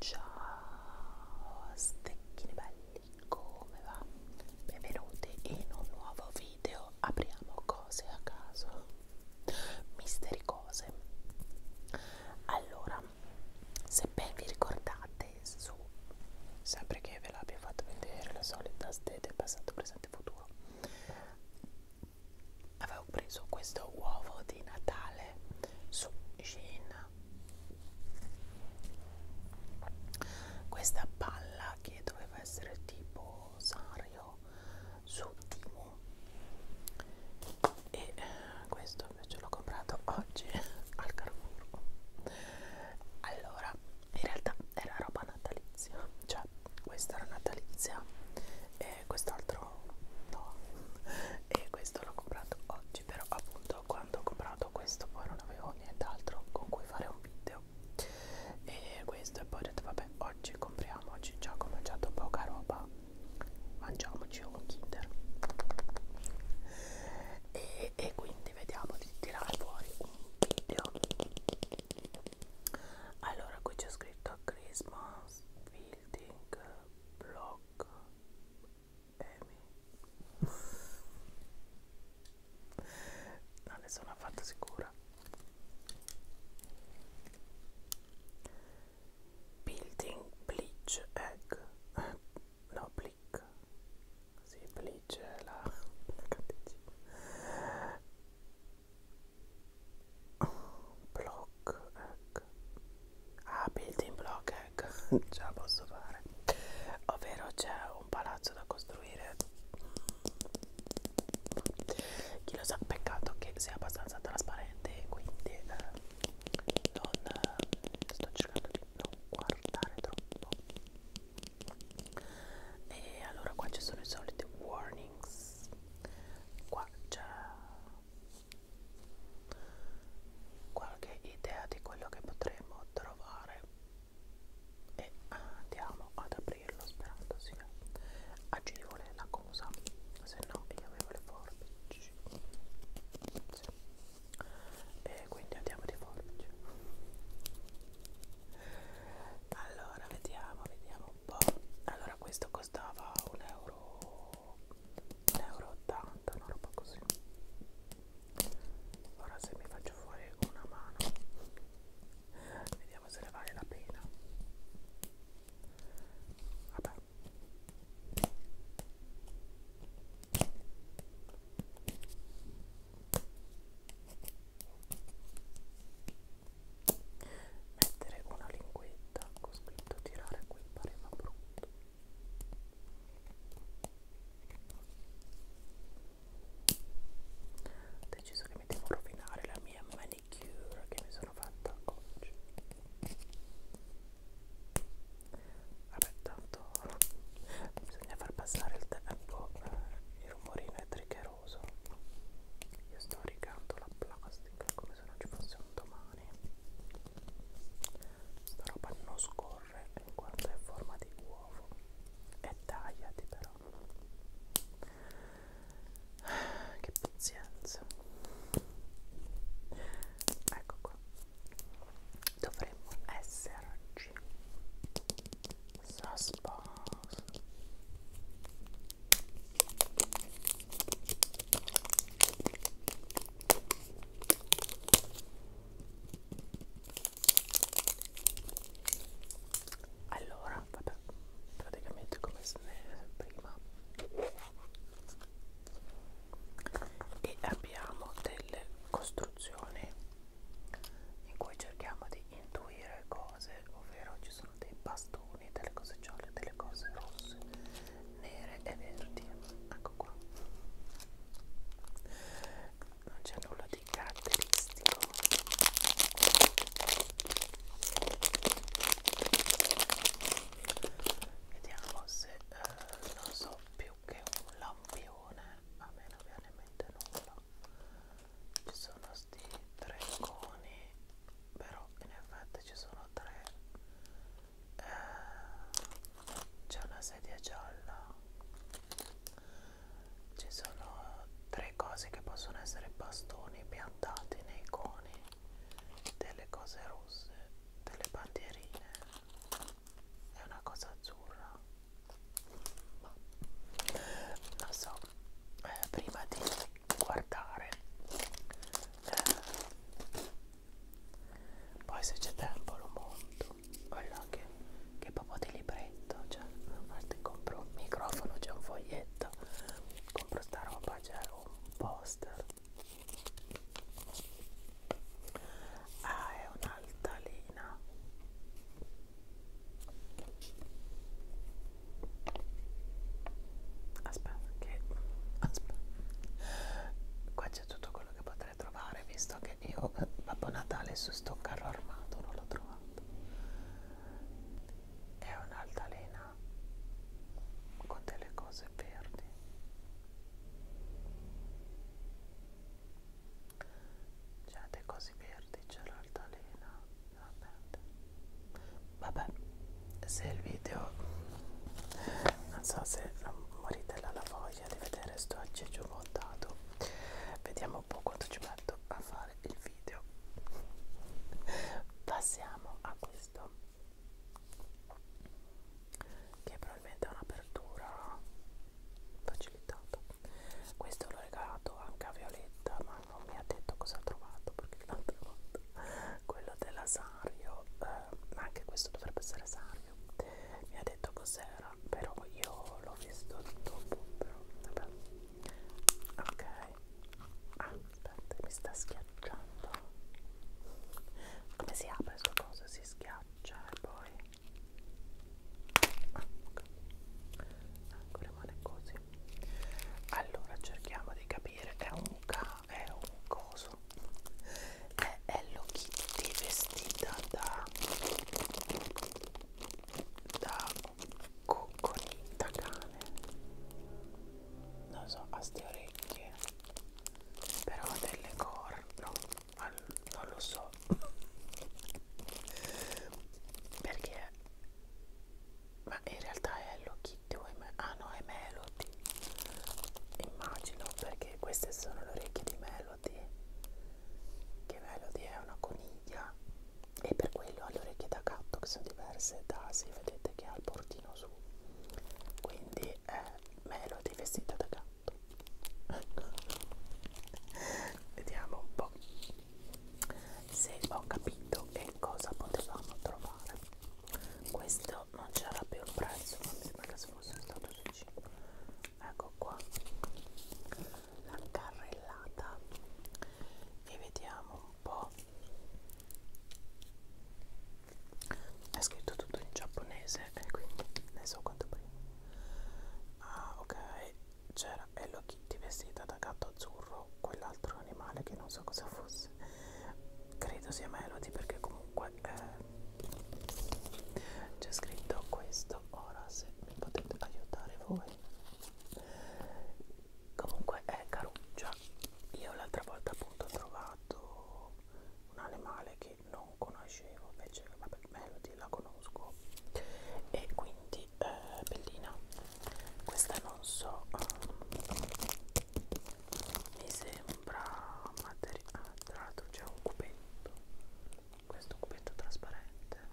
Ciao stecchini belli, come va? Benvenuti in un nuovo video. Apriamo cose a caso, misteri cose. Allora, se ben vi ricordate, Days su sempre che ve l'abbia fatto vedere la solita ste del passato, presente e futuro avevo preso questo uovo di Natale su Shein questa palla che doveva essere tipo Sanrio su Timo e eh, questo invece l'ho comprato oggi al Carrefour allora in realtà era roba natalizia cioè questa era natalizia e quest'altro no e questo l'ho comprato oggi però appunto quando ho comprato questo poi non avevo nient'altro con cui fare un video e questo e poi ho detto vabbè oggi compriamo oggi già ho mangiato poca roba mangiamoci un kinder e, e quindi quindi vediamo di tirare fuori un video allora qui c'è scritto Christmas building block Amy non ne sono affatto sicura building bleach egg no bleach click semplice la, la cattiva block hack ah building block hack già posso fare ovvero c'è un palazzo da costruire chi lo sa peccato che sia abbastanza trasparente quindi eh, non eh, sto cercando di non guardare troppo e allora qua ci sono i soliti warnings qua c'è qualche idea di quello che potremmo trovare e andiamo ad aprirlo sperando sia agevole la cosa se no io avevo le forbici forbici e quindi andiamo di forbici allora vediamo vediamo un po' allora questo costava 1 euro 1,80 euro una roba così ora se mi faccio fuori una mano vediamo se ne vale la pena vabbè Mettere una linguetta con scritto tirare qui pareva brutto. Ho deciso che mi devo rovinare la mia manicure che mi sono fatta oggi vabbè tanto bisogna far passare il tempo eh, il rumorino è triggeroso io sto rigando la plastica come se non ci fosse un domani sta roba non scorre in quanto è in forma di uovo e tagliati però che pazienza ecco comunque dovremmo esserci suspense allora vabbè praticamente come se ne prima e abbiamo delle costruzioni in cui cerchiamo di intuire cose, ovvero ci sono dei bastoni, delle cose gialle, delle cose rosse, nere e verdi. Ecco qua. Non c'è nulla di caratteristico. Vediamo se eh, non so più che un lampione a me non viene in mente nulla ci sono sti tre coni però in effetti ci sono tre eh, c'è una sedia gialla ci sono tre cose che possono essere bastoni piantati nei coni delle cose rosse delle bandierine è una cosa azzurra ma non so eh, prima di guardare eh, poi se c'è tempo lo monto guarda che, che proprio di libretto cioè infatti compro un microfono c'è un foglietto compro sta roba c'è un poster Ah, è un'altalena. Aspetta, che aspetta. Qua c'è tutto quello che potrei trovare, visto che io Babbo Natale su sto carro armato non l'ho trovato. È un'altalena con delle cose verdi c'è cioè, dei cosi verdi, c'è l'altalena, vabbè. Vabbè, se il video, non so se morite la voglia di vedere sto aggeggio montato, vediamo un po' quanto ci metto a fare il video. Passiamo a questo che è probabilmente è un'apertura facilitata questo l'ho regalato anche a Violetta ma non mi ha detto cosa ha trovato perché l'altra volta quello della Sario eh, ma anche questo dovrebbe essere Sario mi ha detto cos'era però io l'ho visto dopo però vabbè ok ah, aspetta mi sta schiacciando schiacciando come si apre sul coso si schiaccia e poi ah, okay. ecco rimane così allora cerchiamo di capire è un ca è un coso è Hello Kitty vestita da da cocconita cane non so a ste orecchie però delle corno non lo so perché ma in realtà è Hello Kitty o è ah no è Melody immagino perché queste sono le orecchie di Melody che Melody è una coniglia e per quello ha le orecchie da gatto che sono diverse da si vedete che ha il portino su quindi che eh, è meno dei vestiti da gatto vediamo un po' se ho capito che cosa potevamo trovare questo non c'era più il prezzo ma mi sembra che se fosse stato 5 ecco qua la carrellata e vediamo un po' è scritto tutto in giapponese e quindi ne so quanto prima ah ok c'era Hello Kitty vestita da gatto azzurro quell'altro animale che non so cosa fosse credo sia Melody perché comunque eh, c'è scritto questo ora se mi potete aiutare voi comunque è caruccia io l'altra volta appunto ho trovato trovato un animale che non conoscevo invece vabbè Melody la conosco e quindi eh, bellina questa non so um, mi sembra materiale ah, tra l'altro c'è un cubetto questo cubetto trasparente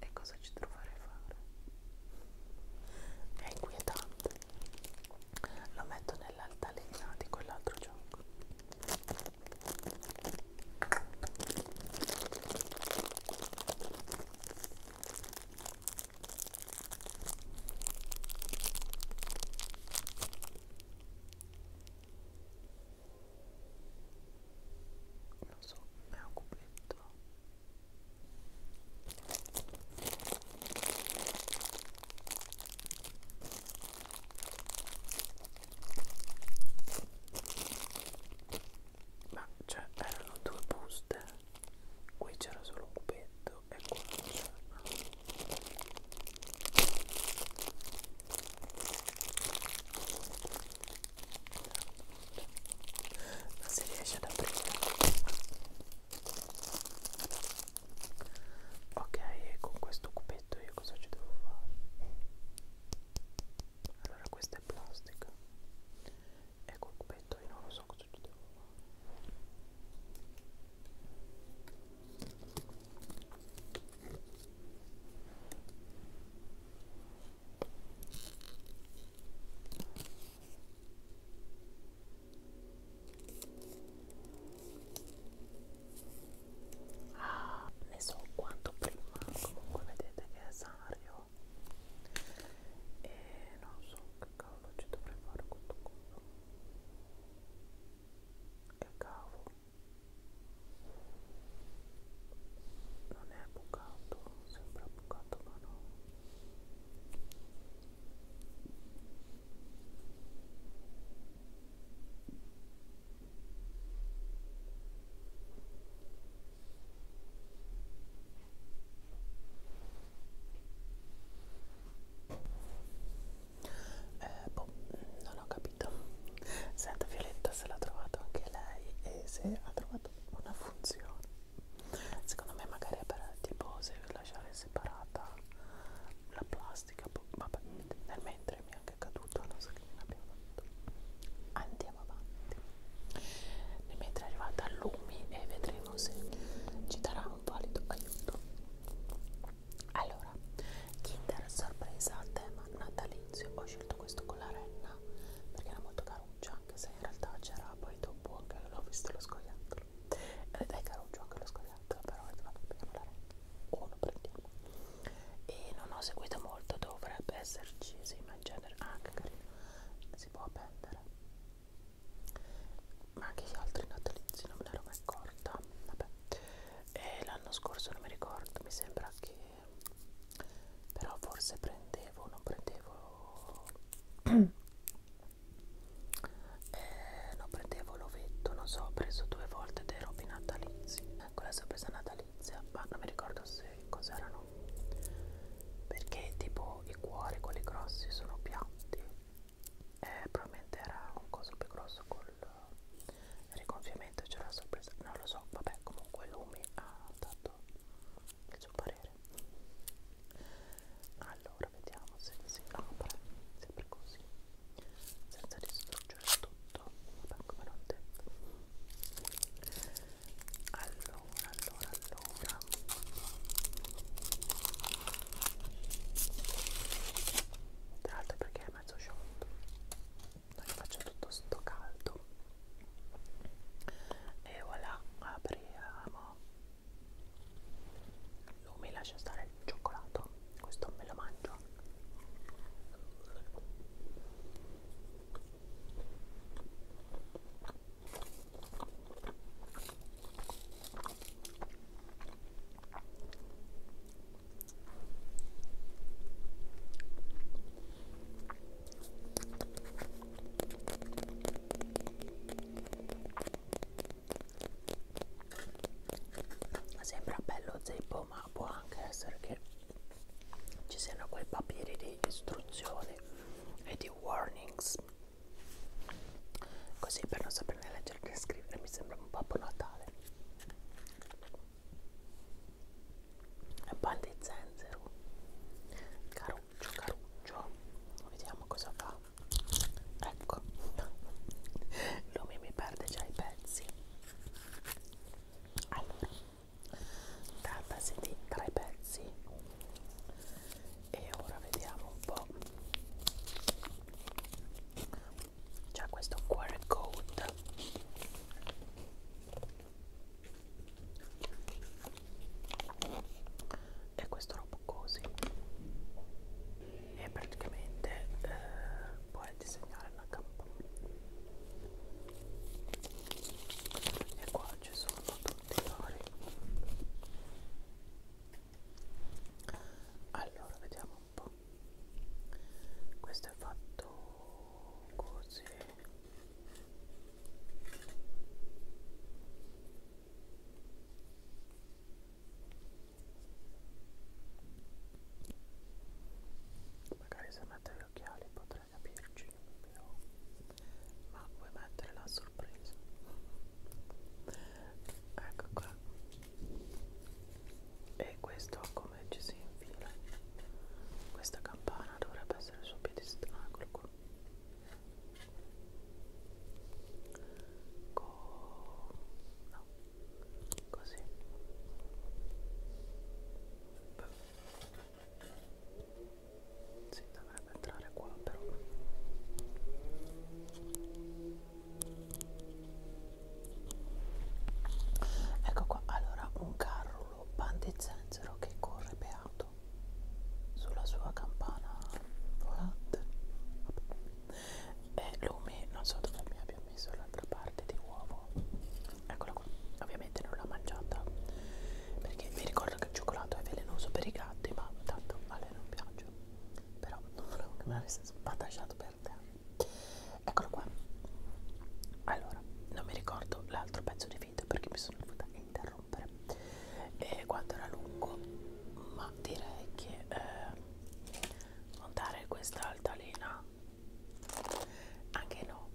e cosa ci troverei a fare è inquietante lo metto nell'altalena di quell'altro gioco non so, è un cubetto ma cioè erano due buste qui c'era solo un petto e qua non c'era non si riesce ad aprire ok e con questo cubetto io cosa ci devo fare allora questa è plastica e col cubetto io non lo so cosa ci devo fare Ah, ne so quanto prima, comunque vedete che è Sario e non so che cavolo ci dovrei fare questo coso. Che cavolo? Non è bucato, sembra bucato ma no. Eh, boh, non ho capito. Senta Violetta se l'ha trovato anche lei e se ha trovato una funzione secondo me magari è per tipo se lasciare separata la plastica boh, vabbè nel mentre mi è anche caduto non so che ne abbiamo fatto andiamo avanti nel mentre è arrivata Lumi e vedremo se ci darà un valido aiuto allora Kinder sorpresa tema natalizio ho scelto questo con la renna perché era molto caruccia anche se in realtà c'era poi dopo anche l'ho visto lo scoiattolo ed eh, è che era un gioco lo scoiattolo però vabbè prendiamo la rete o lo prendiamo e non ho seguito molto dovrebbe esserci sì ma in genere ah che carino si può appendere ma anche gli altri natalizi non me ne ero mai accorta vabbè e l'anno scorso non mi ricordo mi sembra che però forse prendevo non prendevo eh, no, prendevo l'ovetto, non so, ho preso due volte dei robi natalizi. Quella sorpresa natalizia, ma non mi ricordo se cos'erano. Perché tipo i cuori, quelli grossi, sono piatti. Eh, probabilmente era un coso più grosso col rigonfiamento, c'era la sorpresa. Non lo so, vabbè, comunque Lumi ha dato il suo parere allora vediamo se si apre sempre così senza distruggere tutto vabbè come l'ho detto allora allora allora tra l'altro perché è mezzo sciolto non faccio tutto sto caldo e voilà apriamo Lumi lascia stare il cioccolato questo me lo mangio Sembra bello zeppo ma può anche essere che ci siano quei papiri di istruzioni e di warnings così per non saperne leggere e scrivere mi sembra un Babbo Natale balde zenzero caruccio caruccio vediamo cosa fa ecco lui mi perde già i pezzi allora trattasi di tre pezzi e ora vediamo un po' c'è questo QR code e questo roba così e praticamente eh, puoi disegnare la campana e qua ci sono tutti i vari allora vediamo un po' questo è fatto così Magari se mette gli occhiali potrei capirci, però... ma vuoi mettere la sorpresa? Ecco qua. E questo con come ci si infila questa campana dovrebbe essere sul piedistallo ah, eccolo qua Co no. così si dovrebbe entrare qua però ecco qua allora un carro solo pan di zenzero che corre beato sulla sua campana volante e eh, lumi non so dove mi abbia messo l'altra parte di uovo eccola qua ovviamente non l'ho mangiata perché vi ricordo che il cioccolato è velenoso per i gatti ma tanto a lei non piace però non volevo che me l'avesse sbattasciato per terra eccolo qua allora non mi ricordo l'altro pezzo di video perché mi sono dovuta interrompere e quanto era lungo ma direi che eh, montare questa altalena anche no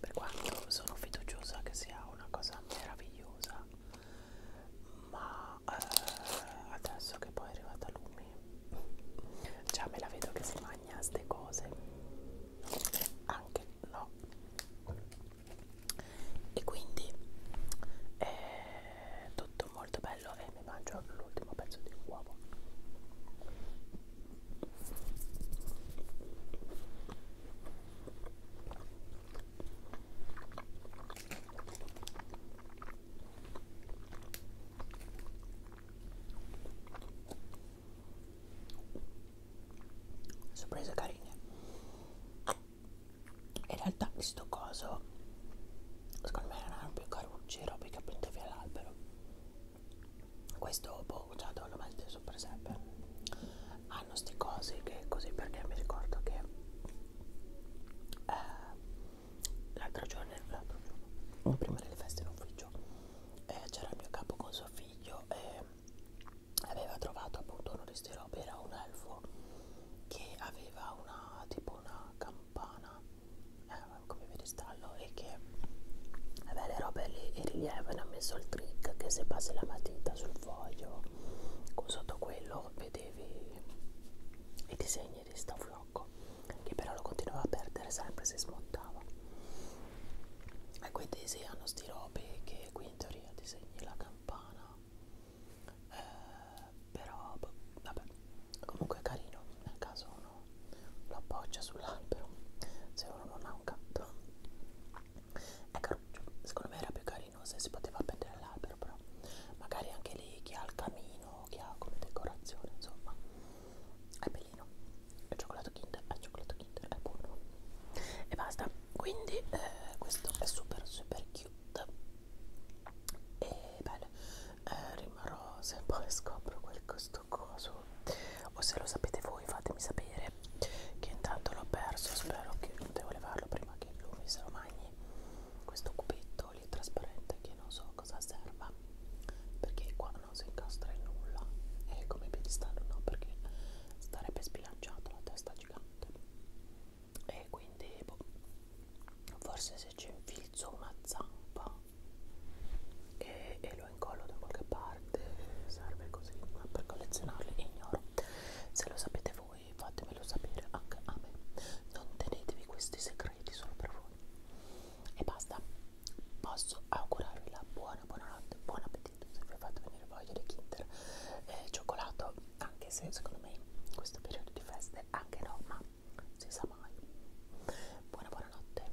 per quanto sono fiduciosa che sia una cosa meravigliosa ma eh, adesso che poi è arrivata Lumi già me la vedo che si mangia montagna, ste cose anche no e quindi è eh, tutto molto bello e mi mangio l'ultimo pezzo di uovo sorprese carine in realtà questo coso secondo me erano più carucci robe che appunto via l'albero questo boh già lo malteso per sempre hanno sti cosi che così perché mi ricordo che eh, l'altro giorno l'altro giorno prima delle feste in ufficio eh, c'era il mio capo con suo figlio e aveva trovato appunto uno di questi robe, era un elfo che aveva una tipo una campana eh, come vi stallo e che aveva le robe lì in rilievo e ha messo il trick che se passi la matita sul foglio sotto quello vedevi i disegni di sta blocco che però lo continuava a perdere sempre se smontava e quei tesi hanno sti robe che qui in teoria disegni la campana eh, però boh, vabbè comunque è carino nel caso uno lo appoggia sull'albero se uno non ha un gatto ecco secondo me era più carino se si poteva prendere l'albero però magari anche lì chi ha il camino chi ha come decorazione insomma è pelino il cioccolato kinder al cioccolato kinder è buono e basta quindi eh, questo è super super cute e bene eh, rimarrò se poi scopro quel questo coso o se lo sapete voi fatemi sapere che intanto l'ho perso spero che non devo levarlo prima che lui se lo mangi questo cubetto soli e trasparente che non so cosa serva perché qua non si incastra in nulla è come piedistallo no perché starebbe sbilanciato la testa gigante e quindi boh, forse se ci infilzo una zampa e, e lo incollo da qualche parte serve così ma per collezionarli ignoro se lo sapete voi fatemelo sapere anche a me non tenetevi questi segreti solo per voi e basta posso augurarvi la buona buonanotte, buon appetito se vi ho fatto venire voglia di Kinder eh, cioccolato, anche se secondo me in questo periodo di feste anche no, ma si sa mai. Buona buonanotte.